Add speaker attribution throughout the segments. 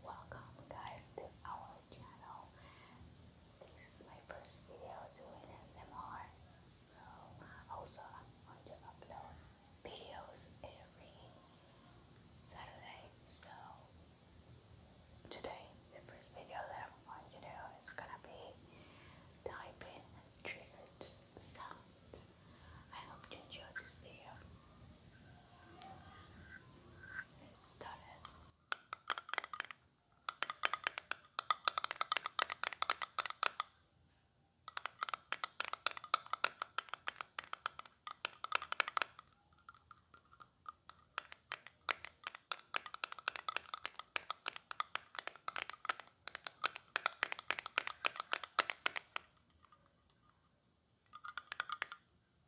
Speaker 1: Welcome guys to our channel. This is my first video doing SMR. So also I'm going to upload videos every Saturday. So today the first video that I'm going to do is gonna be typing triggered sound. I hope you enjoyed this video. It's done it.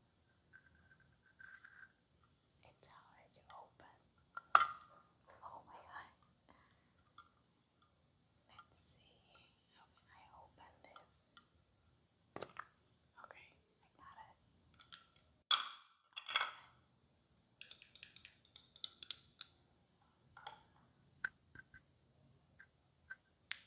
Speaker 1: It's already open. Oh my god. Let's see. How can I open this? Okay, I got it.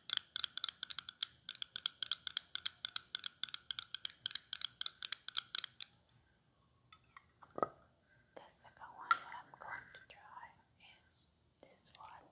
Speaker 1: The second one that I'm going to try is this one.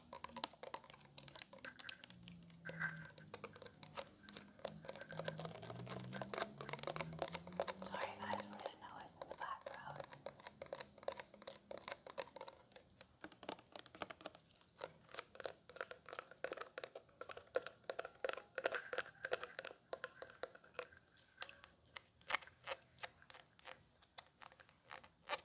Speaker 1: Sorry guys for the noise in the background. All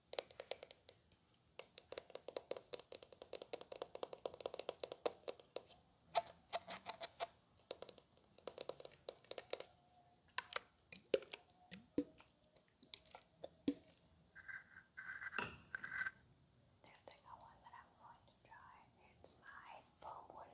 Speaker 1: There's like a one that I'm going to try. It's my bone.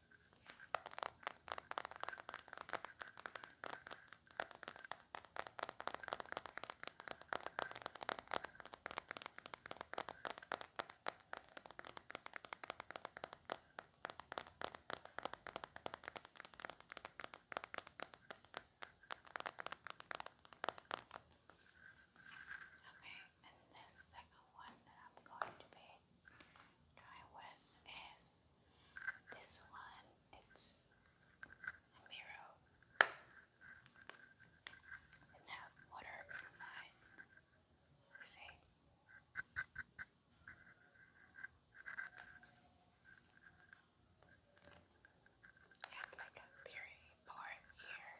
Speaker 1: Okay, and the second one that I'm going to be try with is this one. It's a mirror. And have water inside. You see? And like a theory part here.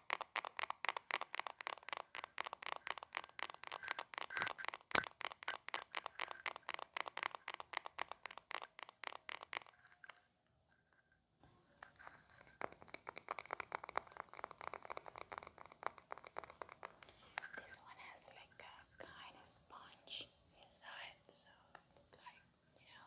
Speaker 1: This one has like a kind of sponge inside, so it's like, you know.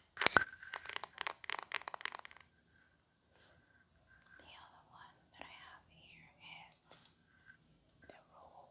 Speaker 1: The other one that I have here is the roll.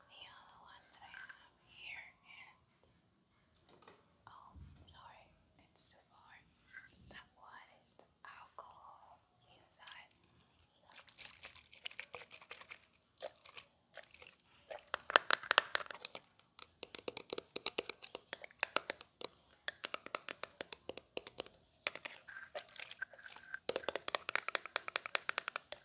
Speaker 1: The other one that I have here is oh sorry, it's too far. That one is alcohol inside.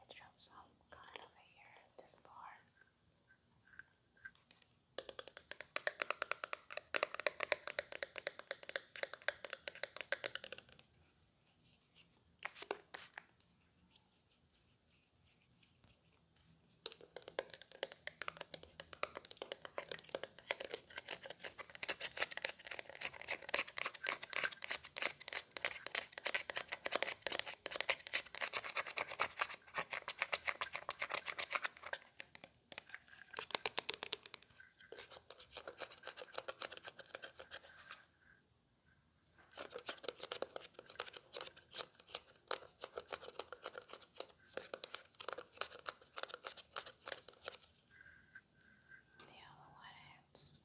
Speaker 1: I dropped some kind over here at this bar. The other one is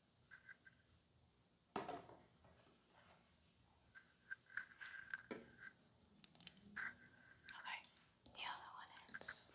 Speaker 1: Okay, the other one is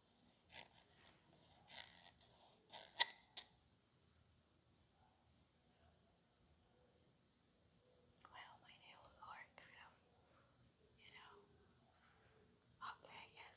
Speaker 1: Well, my nails are kind of, you know, okay, I guess.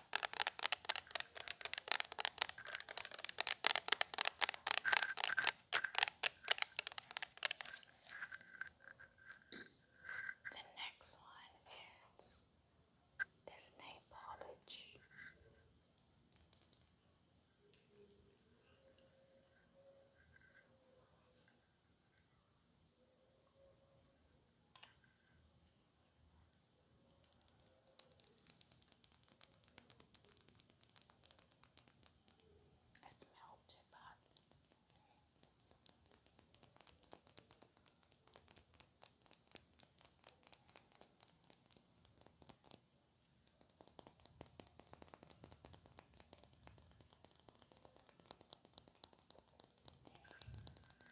Speaker 1: The next one is this nail it's melted, but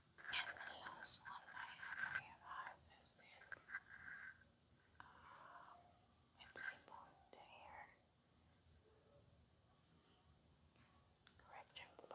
Speaker 1: And the last one I have realized is this. it's able to hear correction foot.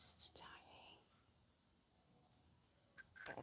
Speaker 1: Just a tiny Sorry.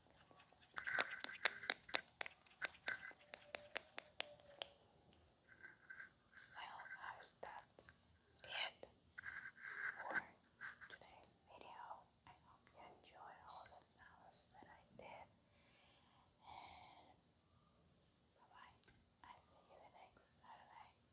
Speaker 1: Well, that's it for today's video. I hope you enjoyed all the sounds that I did. And bye bye. I see you next Saturday.